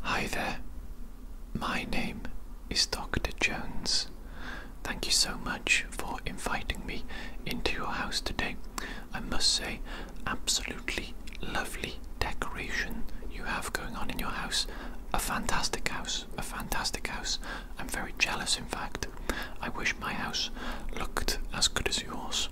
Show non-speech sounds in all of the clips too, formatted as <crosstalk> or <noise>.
Hi there. My name is Dr. Jones. Thank you so much for inviting me into your house today. I must say, absolutely lovely decoration you have going on in your house. A fantastic house, a fantastic house. I'm very jealous, in fact. I wish my house looked as good as yours.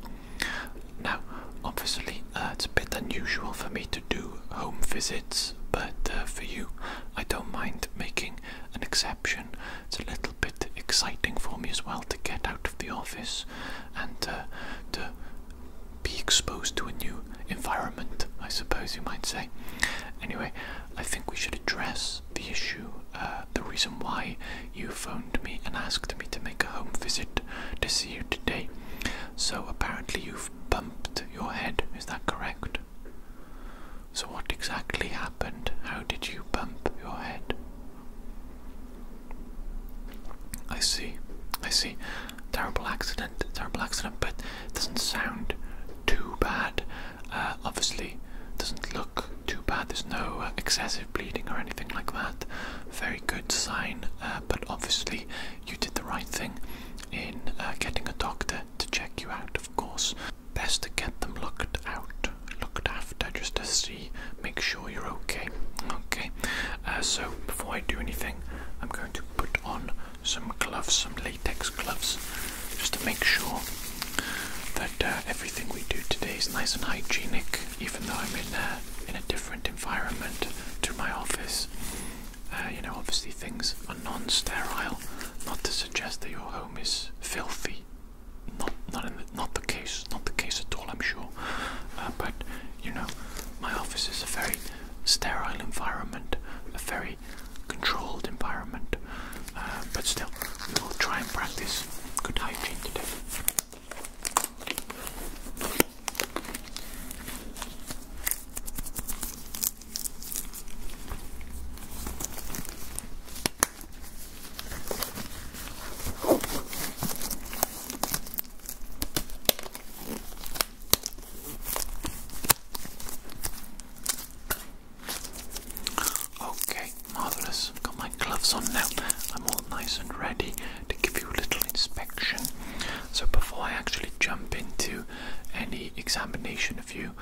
Now, obviously, uh, it's a bit unusual for me to do home visits, but uh, for you, I don't mind making an exception. It's a little bit exciting for me as well to get out of the office and uh, to be exposed to a new environment, I suppose you might say. Anyway, I think we should address the issue, the reason why you phoned me and asked me to make a home visit to see you today. So, apparently, you bumped your head, is that correct? So, what exactly happened? How did you bump your head? I see, I see. Terrible accident, terrible accident, but it doesn't sound too bad. Uh, obviously, doesn't look too bad. There's no uh, excessive bleeding or anything like that. Very good sign, uh, but obviously, you did the right thing in uh, getting a doctor to check you out, of course. Best to get them looked out, looked after, just to see, make sure you're okay. Okay, uh, so before I do anything, I'm going to put on some gloves, some latex gloves, just to make sure that uh, everything we do today is nice and hygienic, even though I'm in a different environment to my office. Uh, you know, obviously things are non-sterile. Not to suggest that your home is filthy. Not, not, the, not the case. Not the case at all. I'm sure. Uh, but you know, my office is a very sterile environment, a very controlled environment. Uh, but still, we will try and practice good hygiene today. Okay, marvellous. Got my gloves on now. I'm all nice and ready to give you a little inspection. So before I actually jump into any examination of you,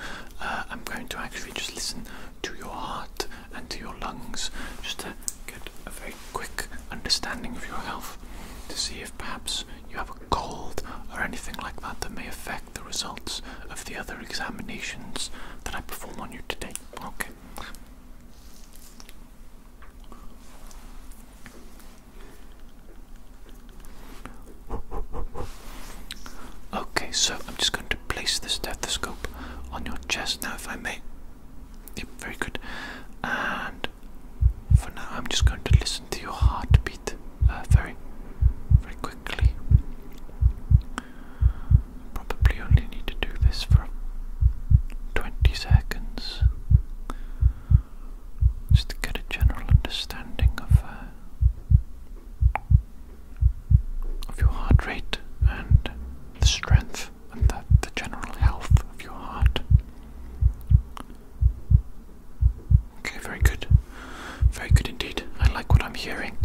uh, I'm going to actually just listen to your heart and to your lungs just to get a very quick understanding of your health to see if perhaps you have a cold or anything like that that may affect the results of the other examinations that I perform on you today. Okay. Okay, so I'm just going to place the stethoscope on your chest now, if I may. Yep, very good. And for now, I'm just going to listen to your heartbeat uh, very, very quickly. Probably only need to do this for 20 seconds just to get a general understanding of uh, of your heart rate and the strength and the, the general health of your heart. Okay, very good. Very good indeed. I like what I'm hearing.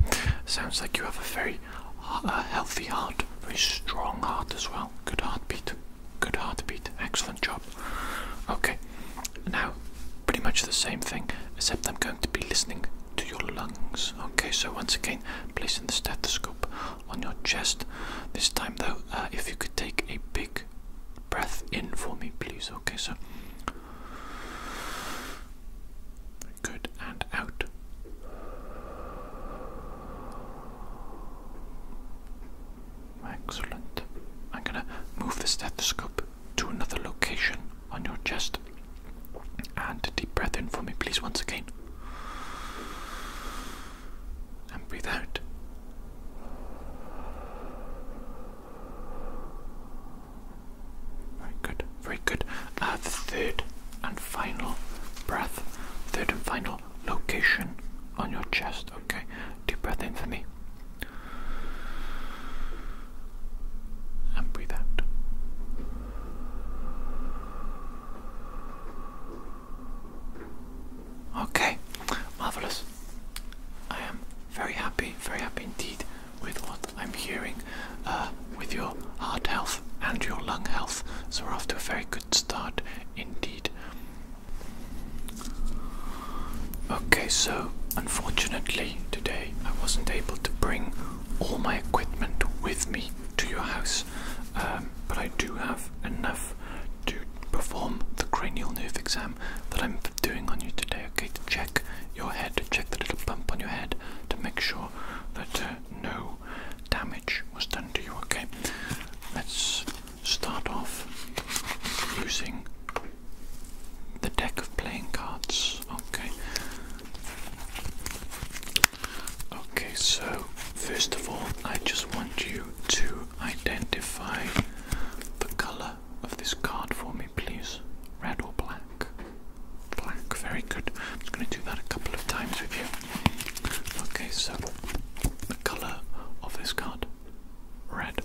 Sounds like you have a very uh, healthy heart, very strong heart as well. Good heartbeat. Good heartbeat. Excellent job. Okay. Now, pretty much the same thing, except I'm going to be listening to your lungs. Okay, so once again, placing the stethoscope on your chest. This time, though, uh, if you could take a big breath in for me, please. Okay, so. Good, and out. Excellent. I'm gonna move the stethoscope to another location on your chest. And a deep breath in for me, please, once again. And breathe out. Very good, very good. Uh, third and final breath, third and final location on your chest Okay, deep breath in for me. And breathe out. Okay, marvelous. I am very happy, very happy indeed with what I'm hearing uh, with your heart health and your lung health. So we're off to a very good start indeed. Okay, so unfortunately, today I wasn't able to bring all my equipment with me to your house, um, but I do have enough to perform the cranial nerve exam that I'm doing on you today, okay? To check your head, to check the little bump on your head, to make sure that uh, no damage was done to you, okay? Let's start off using the deck of playing cards. Okay. Okay, so first of all, I just want you to identify the color of this card for me, please. Red or black? Black, very good. I'm just going to do that a couple of times with you. Okay, so the color of this card. Red.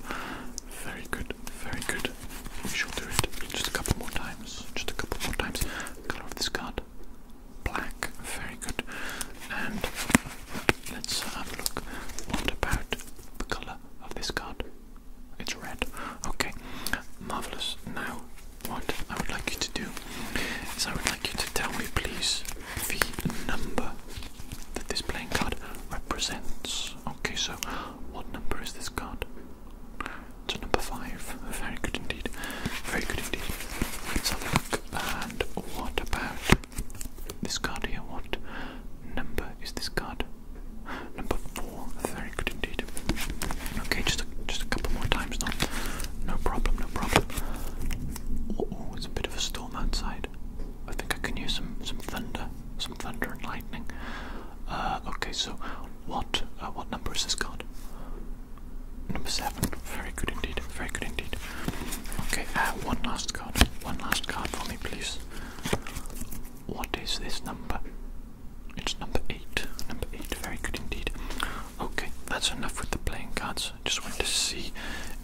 Very good, very good. We shall do it just a couple more times. Just a couple more times. Color of this card. Black. Very good. And let's have a look. What about the color of this card? It's red. Okay. Marvelous. Now, what I would like you to do is I would like you to tell me, please, the number that this playing card represents. Okay, so what number is this card? It's a number five. Very good indeed. Very good indeed. Let's have a look. And what about this card here? What number is this card? Number four. Very good indeed. Okay, just a, just a couple more times now. No problem. No problem. Oh, it's a bit of a storm outside. I think I can use some some thunder, some thunder and lightning. Uh, okay, so what uh, what number is this card? Number seven. Very good indeed. Very good indeed. Okay, uh, one last card. One last card for me, please. What is this number? It's number eight. Number eight. Very good indeed. Okay, that's enough with the playing cards. Just want to see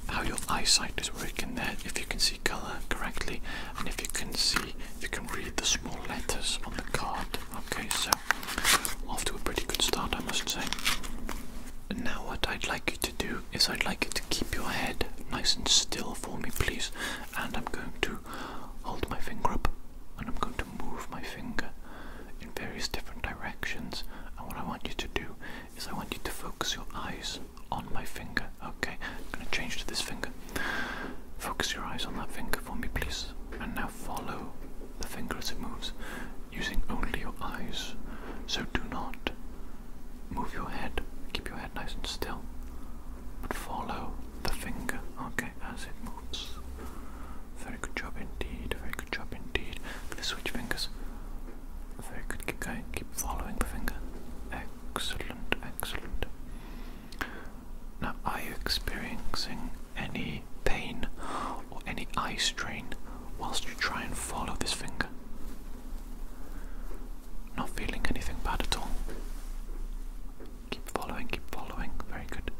how your eyesight is working there. If you can see color correctly and if you can see you can read the small letters on the card okay so off to a pretty good start I must say now what I'd like you to do is I'd like you to keep your head nice and still for me please and I'm going to hold my finger up and I'm going to move my finger in various different directions and what I want you to do is I want you to focus your eyes on my finger. Okay, I'm going to change to this finger. Focus your eyes on that finger for me, please. And now follow the finger as it moves, using only your eyes. So do not move your head. Keep your head nice and still. But follow the finger, okay, as it moves. Very good job indeed, very good job indeed. Let's switch fingers. Very good, keep going, keep following the finger. Excellent, excellent. Now, are you experiencing any pain or any eye strain whilst you try and follow this finger? Not feeling anything bad at all. Keep following, keep following. Very good.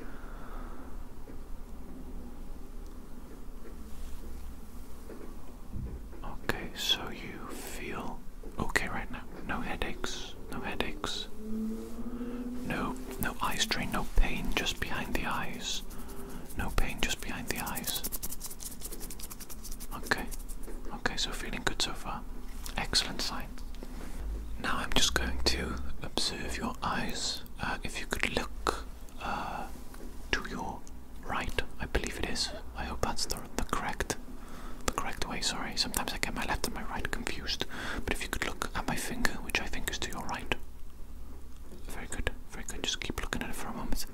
Okay, so you feel okay right now. No headaches, no headaches. No no eye strain, no pain just behind the eyes. No pain just behind the eyes. Okay. Okay, so feeling good so far. Excellent sign. Now I'm just going to observe your eyes. Uh, if you could look uh, to your right? I believe it is. I hope that's the, correct the correct way. Sorry, sometimes I get my left and my right confused. But if you could look at my finger, which I think is to your right. Very good, very good. Just keep looking at it for a moment.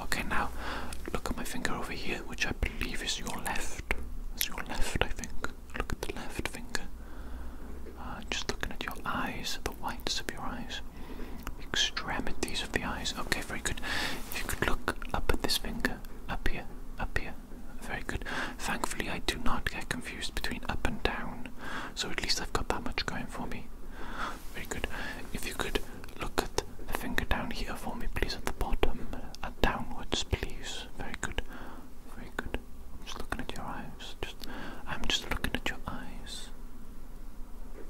Okay, now look at my finger over here, which I believe is your left. It's your left, I think. Look at the left finger. Uh, just looking at your eyes, the whites of your eyes, extremities of the eyes. Okay very good. If you could look up at this finger, up here, up here. Very good. Thankfully, I do not get confused between up and down, so at least I've got that much going for me. Very good. If you could look at the finger down here for me, please, at the bottom, uh, downwards, please. Very good. Very good. I'm just looking at your eyes. Just, I'm just looking at your eyes.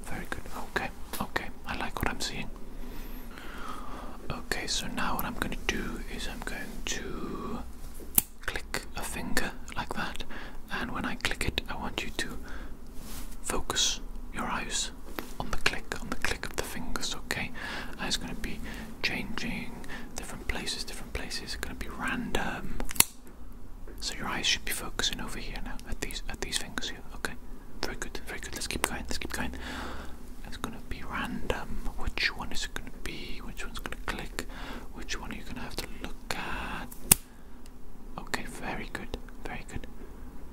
Very good. Okay. Okay, I like what I'm seeing. Okay, so now what I'm going to do is I'm going to click a finger like that, and when I click it, I want you to focus your eyes on the click, on the click of the fingers, okay? And it's going to be changing different places, different places, it's going to be random. So your eyes should be focusing over here now at these at these fingers Okay, very good, very good. Let's keep going, let's keep going. It's going to be random. Which one is it going to be? Which one's going to click? Which one are you going to have to look at? Okay, very good, very good,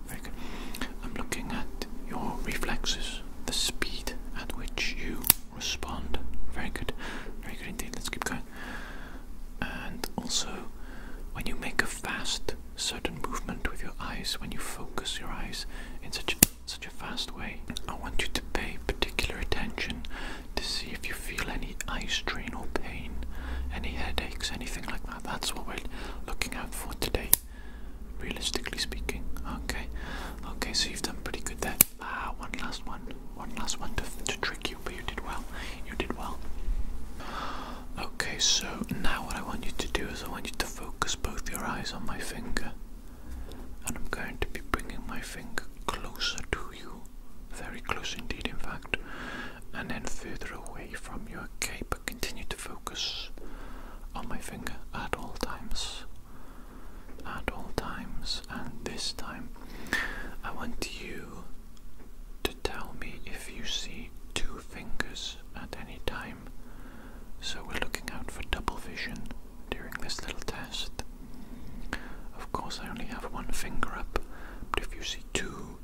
very good. I'm looking at your reflexes, the speed at which you respond. Very good, very good indeed. Let's keep going. And also, when you make a fast certain movement with your eyes when you focus your eyes in such a, such a fast way. I want you to pay particular attention to see if you feel any eye strain or pain, any headaches, anything like that. That's what we're looking out for today, realistically speaking. Okay, okay, so you've done pretty good there. Ah, one last one, one last one to, to trick you, but you did well. You did well. Okay, so now what I want you to do is I want you to focus both your eyes on my finger, and I'm going to be bringing my finger closer to you, very close indeed, in fact, and then further away from you. Okay, but continue to focus on my finger at all times, at all times, and this time I want you to tell me if you see two fingers at any time so we're looking out for double vision during this little test. Of course, I only have one finger up, but if you see two,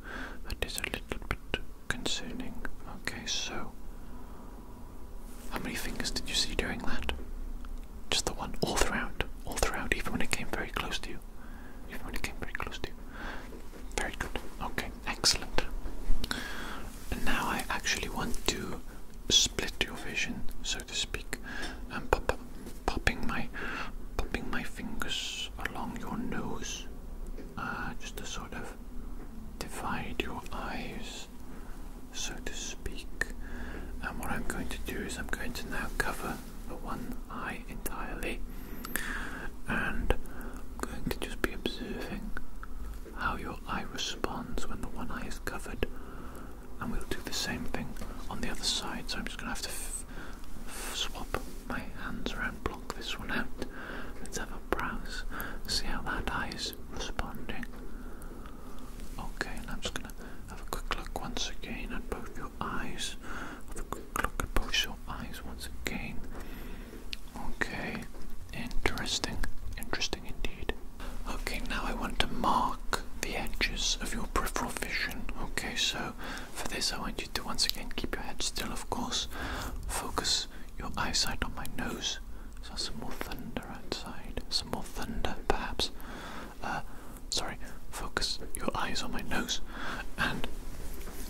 that is a little bit concerning. Okay, so how many fingers did you see during that? Just the one, all throughout, all throughout, even when it came very close to you. Even when it came very close to you. Very good. Okay, excellent. And now I actually want to split your vision, so to speak. and pop pop popping my popping my fingers along your nose, uh, just to sort of divide your eyes, so to speak. And what I'm going to do is I'm going to now cover the one eye entirely and I'm going to just be observing how your eye responds when the one eye is covered, and we'll do the same thing on the other side. So I'm just going to have to swap my hands around, block this one out. Let's have a browse, see how that eye is responding. Okay, and I'm just going to have a quick look once again at both your eyes. Have a quick look at both your eyes once again. Okay, interesting, interesting indeed. Okay, now I want to mark the edges of your peripheral vision. Okay, so for this, I want you to once again keep your head still, of course. Focus your eyesight on my nose. So, some more thunder outside, some more thunder perhaps. Uh, sorry, focus your eyes on my nose. And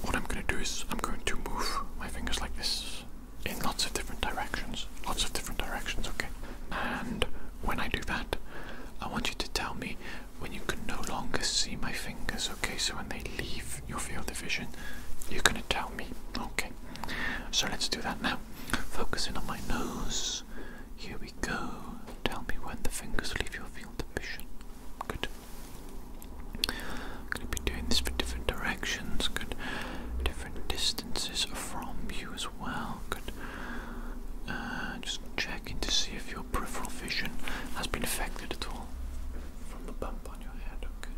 what I'm going to do is I'm going to move my fingers like this in lots of different directions. Lots of different directions, okay? And when I do that, I want you to tell me when you can no longer see my fingers, okay? So when they leave your field of vision, you're gonna tell me, okay? So let's do that now. Focusing on my nose. Here we go. Tell me when the fingers leave your field of vision. Good. I'm going to be doing this for different directions, good different distances from you as well. Good. Uh, just checking to see if your peripheral vision has been affected at all from the bump on your head. Okay.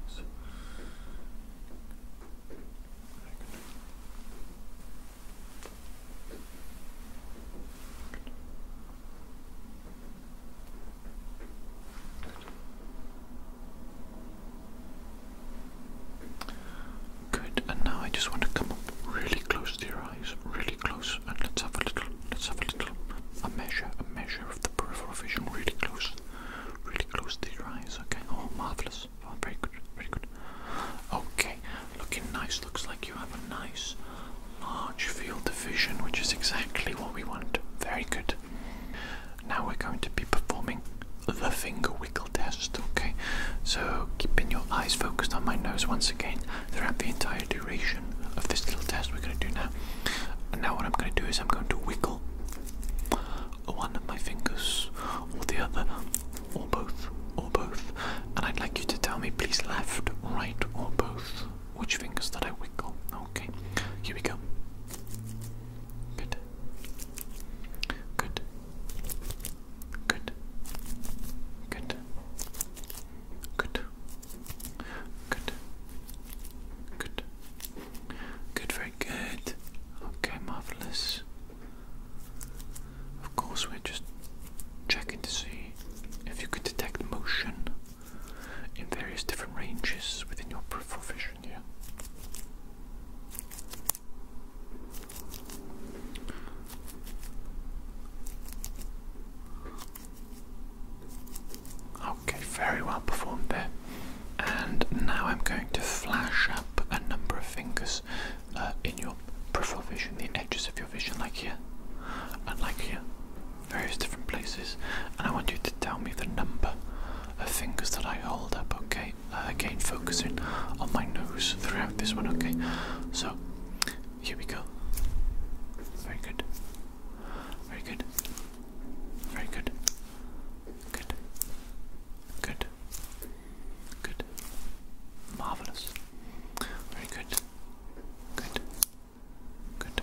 Good, and now I just want to come really close to your eyes, really close, and let's have a little, let's have a little, a measure, a measure of the peripheral vision, really close, really close to your eyes. Okay, oh, marvelous, oh, very good, very good. Okay, looking nice. Looks like you have a nice large field of vision, which is exactly what we want. Very good. Now we're going to be performing the finger wiggle test, okay? So keeping your eyes focused on my nose once again throughout the entire duration of this little test we're going to do now. And now what I'm going to do is I'm going to wiggle one of my fingers or the other or both or both. And I'd like you to tell me please left, right or both which fingers that I wiggle. Okay, here we go. Good. Good. Good. Good. Good. Good. Good. Good, very good. Okay, marvelous. Of course, we're just checking to see if you can detect motion in various different ranges within your peripheral vision. Okay, very well performed there. And now I'm going to flash up a number of fingers uh, in your peripheral vision, the edges of your vision, like here and like here, various different places. And I want you to tell me the number of fingers that I hold up, okay? Uh, again, focusing on my nose throughout this one, okay? So, here we go. Very good. Very good. Very good. Good. Good. Good. Marvelous. Very good. Good. Good.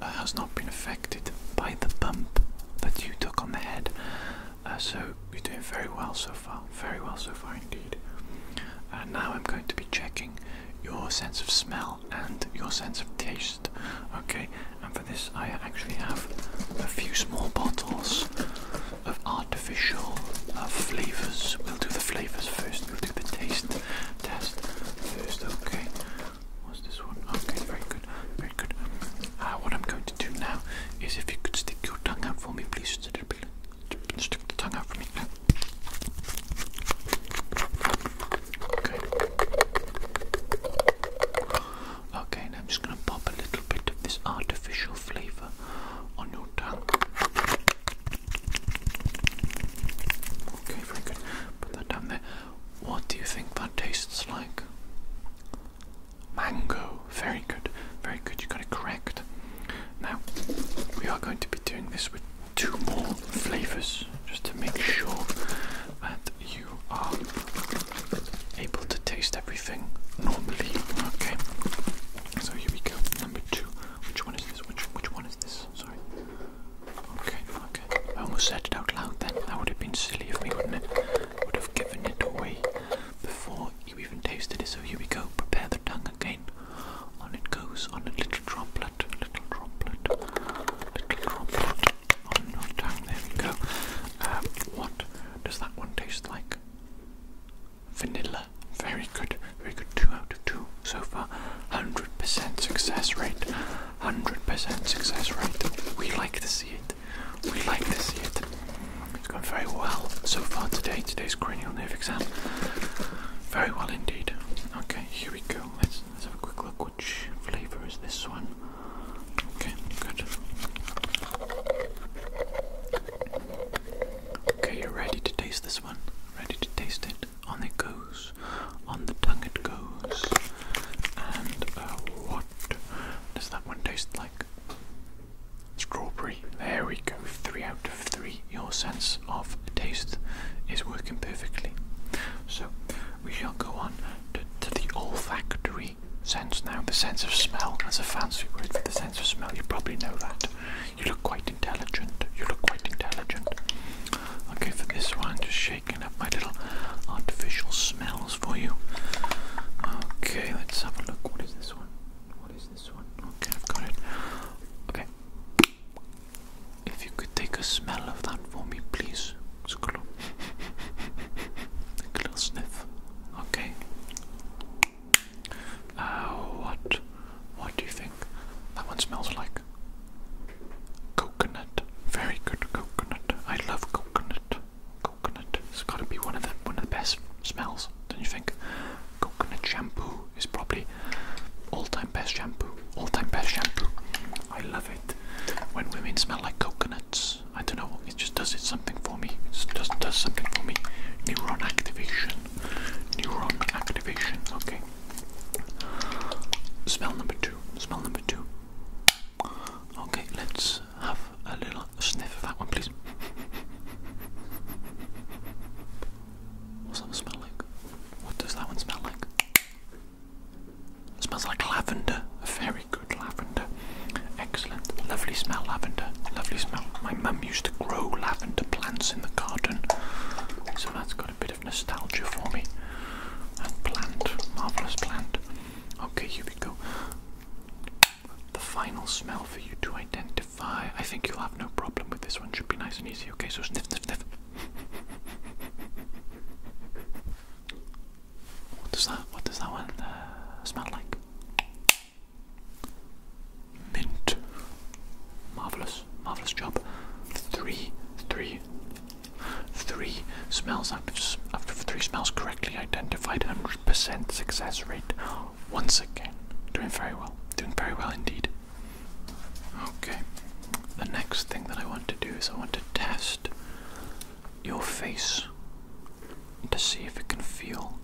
uh, has not been affected by the bump that you took on the head. Uh, so you're doing very well so far, very well so far indeed. Uh, now I'm going to be checking your sense of smell and your sense of taste. Okay, and for this, I actually have a few small bottles of artificial flavors. We'll do the flavors first, we'll do the taste test first, okay? What's this one? Okay, very good, very good. Ah, what I'm going to do now is if you could stick your tongue out for me, please. Stick the tongue out for me. Okay. Okay, now I'm just going to pop a little bit of this artificial flavour on your tongue. Okay, very good. Put that down there. What do you think that tastes like? Mango. Very good. Very good. You got it correct. Now, we are going to be doing this with two more flavors just to make sure that you are able to taste everything normally. Okay. So here we go. Number two. Which one is this? Which which one is this? Sorry. Okay, okay. I almost said it out loud then. That would have been silly if we wouldn't have given it away before you even tasted it. So here we go. Prepare the tongue again. On it goes. On a little droplet. Little droplet. Little droplet. On your tongue. There we go. Um, what does that one taste like? Vanilla. Very good. Very good. Two out of two so far. 100% success rate. 100% success rate. We like to see it. We like to see it. It's gone very well so far today, today's cranial nerve exam. Very well indeed. Okay, here we go. Let's, let's have a quick look. Which flavour is this one? Okay, good. Okay, you're ready to taste this one. Ready to taste it. On it goes. On the tongue it goes. And uh, what does that one taste like? Strawberry. There we go. Three out of three. Your sense of taste is working perfectly. So we shall go on to, the olfactory sense now. The sense of smell. That's a fancy word for the sense of smell. You probably know that. You look quite intelligent. You look quite intelligent. Okay, for this one, just I can have my little artificial smells for you. Okay, let's have a look. What is this one? What is this one? Okay, I've got it. Okay. If you could take a smell of that for me, please. It's a little, <laughs> sniff. Okay. Uh, what? What do you think that one smells like? Coconut. Very good coconut. I love coconut. Coconut. It's got to be one of the one of the best smells, don't you think? Coconut shampoo is probably all-time best shampoo. All-time best shampoo. I love it when women smell like coconuts. I don't know. It just does it something for me. It just does something for me. Neuron activation. Neuron activation. Okay. Smell number two. Smell number two. Okay, let's have a little sniff of that one, please. What's that smell like? What does that one smell like? It smells like lavender. A very good lavender. Excellent. Lovely smell, lavender. Lovely smell. My mum used to grow lavender plants in the garden, so that's got a bit of nostalgia for me. That plant, marvellous plant. Okay, here we go. The final smell for you to identify. I think you'll have no problem with this one. Should be nice and easy. Okay, so sniff, sniff, sniff. What does that? What does that one uh, smell like? Mint. Marvelous, marvelous job. Three, three, Three smells after three smells correctly identified, 100% success rate. Once again, doing very well, doing very well indeed. Okay, the next thing that I want to do is I want to test your face to see if it can feel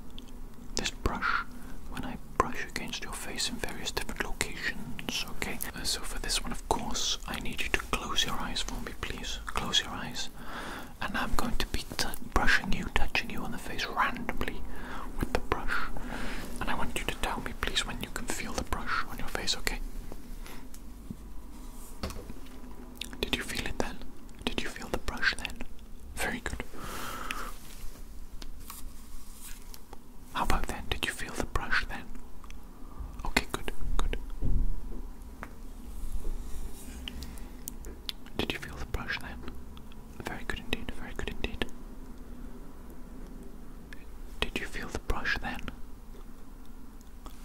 this brush when I brush against your face in various different locations. Okay, uh, so for this one, of course, I need you to close your eyes for me, please. Close your eyes and I'm going to be brushing you, touching you on the face randomly with the brush. And I want you to tell me, please, when you can feel the brush on your face, okay? Did you feel it then? Did you feel the brush then? Very good. How about then? Did you feel the brush then? Okay, good, good. Did you feel the brush then? Very good indeed, very good indeed. Did you feel the brush then?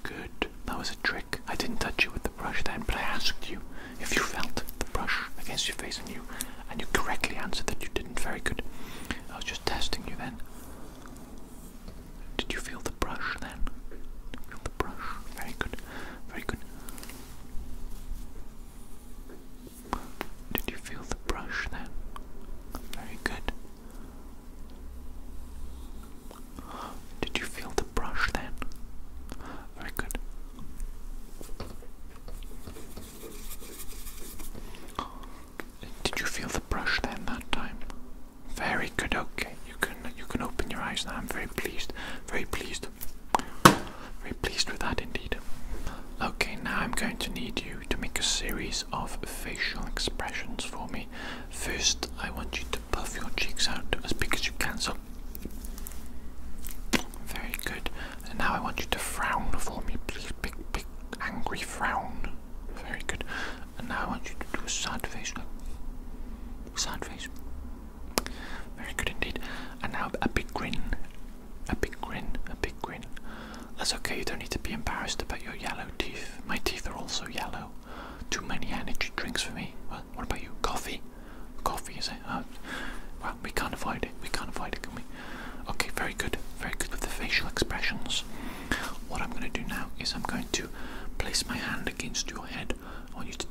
Good. That was a trick. I didn't touch you with the brush then, but I asked you if you felt the brush against your face and you and you correctly answered that you didn't. Very good. I was just testing you then. Did you feel the brush then? Feel the brush. Very good. Very good. Did you feel the brush then? Very good. Did you feel the brush then? Very good. Did you feel the brush then that time? Very good. Okay, you can you can open your eyes now. I'm very pleased. Very pleased. Very pleased with that indeed. Okay, now I'm going to need you to make a series of facial expressions for me. First, I want you to puff your cheeks out as big as you can. So, very good. And now I want you to frown for me, please. Big, big, angry frown. Very good. And now I want you to do a sad face sad face. Very good indeed. And now a big grin. A big grin. A big grin. That's okay, you don't need to be embarrassed about your yellow teeth. My teeth are also yellow. Too many energy drinks for me. what about you? Coffee? Coffee, is it? Uh, well, we can't avoid it. We can't avoid it, can we? Okay, very good. Very good with the facial expressions. What I'm going to do now is I'm going to place my hand against your head I want you to,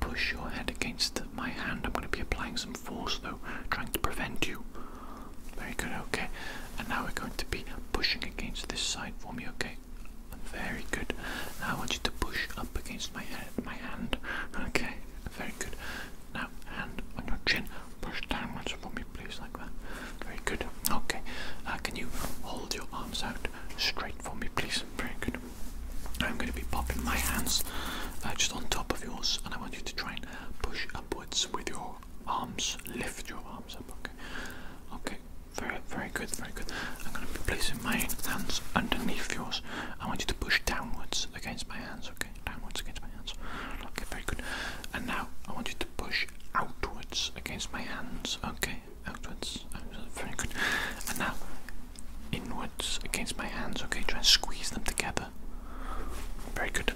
push your head against my hand. I'm going to be applying some force though, trying to prevent you. Very good, okay. And now we're going to be pushing against this side for me, okay? Very good. Now I want you to push up against my head, my hand. Okay, very good. Now, hand on your chin, push downwards for me, please, like that. Very good. Okay. Uh, can you hold your arms out Straight for me, please. Very good. I'm going to be popping my hands uh, just on top of yours, and I want you to try and push upwards with your arms. Lift your arms up. Okay. Okay. Very, very good. Very good. I'm going to be placing my hands underneath yours. I want you to push downwards against my hands. Okay. Downwards against my hands. Okay. Very good. And now I want you to push outwards against my hands. Okay outwards, oh, very good. And now inwards against my hands, okay, try and squeeze them together. Very good.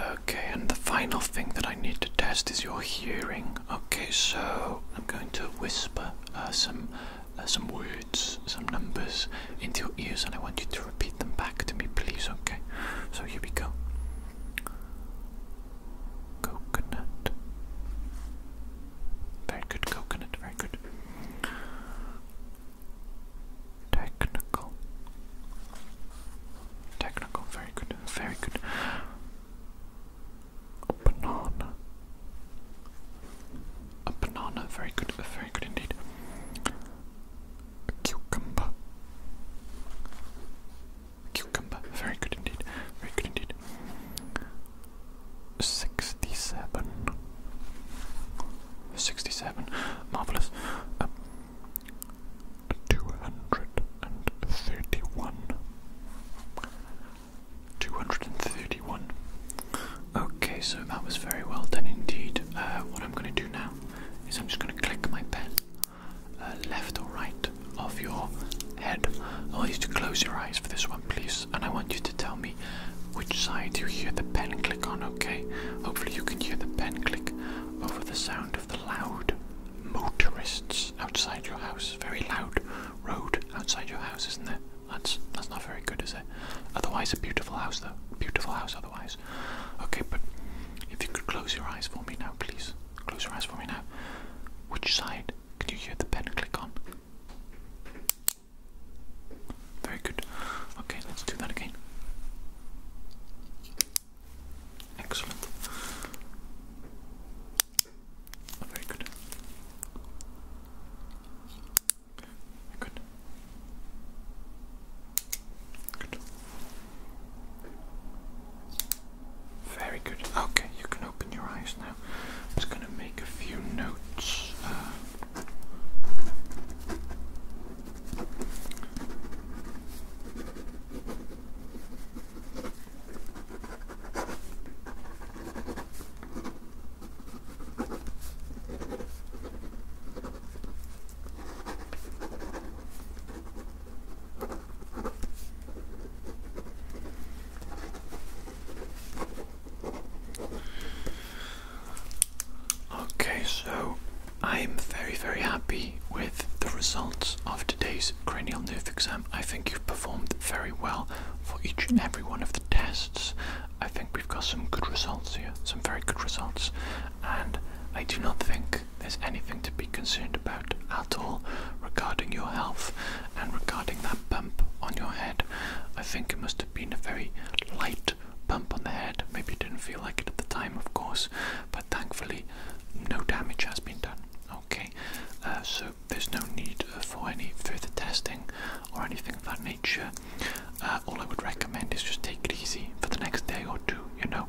Okay, and the final thing that I need to test is your hearing. Okay, so I'm going to whisper uh, some uh, some words, some numbers into your ears, and I want you to repeat them back to me, please. Okay, so here we go. Coconut. Very good, coconut, very good. Technical. Technical, very good, very good. banana. A banana, very good, very good indeed. cucumber. Cucumber. Very good indeed. Very good indeed. 67. 67. Marvelous. Uh, 231. 231. Okay, so that was very well done indeed. Uh, what I'm going to do now is I'm just going to click my pen uh, left or right of your head. I want you to close your eyes for this one, please, and I want you to tell me which side you hear the pen click on, okay? Hopefully, you can hear the pen click over the sound of the loud motorists outside your house. Very loud road outside your house, isn't there? That's that's not very good, is it? Otherwise, a beautiful house, though. Beautiful house, otherwise. Okay, but if you could close your eyes for me now, please. Close your eyes for me now. Which side can you hear the pen click on? Very good. Okay, let's do that again. Excellent. Very good. good. Good. Very good. Okay, you can open your eyes now. I'm just going to make a few notes. Uh, Okay, so I am very, very happy with the results of today's cranial nerve exam. I think you've performed very well for each and every one of the tests. I think we've got some good results here, some very good results, and I do not think there's anything to be concerned about at all regarding your health. And regarding that bump on your head, I think it must have been a very light bump on the head. Maybe you didn't feel like it at the time, of course, but thankfully, no damage has been done. Okay, uh, so there's no need uh, for any further testing or anything of that nature. Uh, all I would recommend is just take it easy for the next day or two, you know.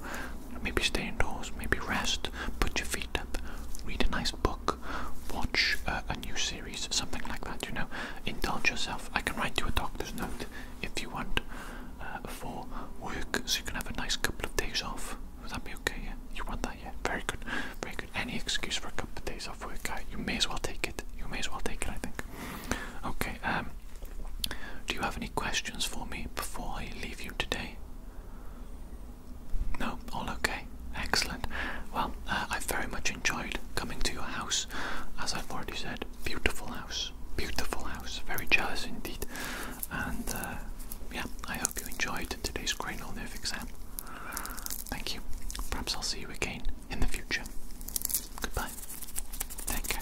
Maybe stay indoors, maybe rest, put your feet read a nice book, watch uh, a new series, something like that, you know, indulge yourself. I can write you a doctor's note if you want uh, for work, so you can have a nice couple of days off. Would that be okay? You want that? Yeah, very good, very good. Any excuse for a couple of days off work, guy, you may as well take it. You may as well take it, I think. Okay, um, do you have any questions for me before I leave you today? No, all okay. Excellent. Well, uh, I've very much enjoyed coming to your house. As I've already said, beautiful house. Beautiful house. Very jealous indeed. And uh, yeah, I hope you enjoyed today's cranial nerve exam. Thank you. Perhaps I'll see you again in the future. Goodbye. Take care.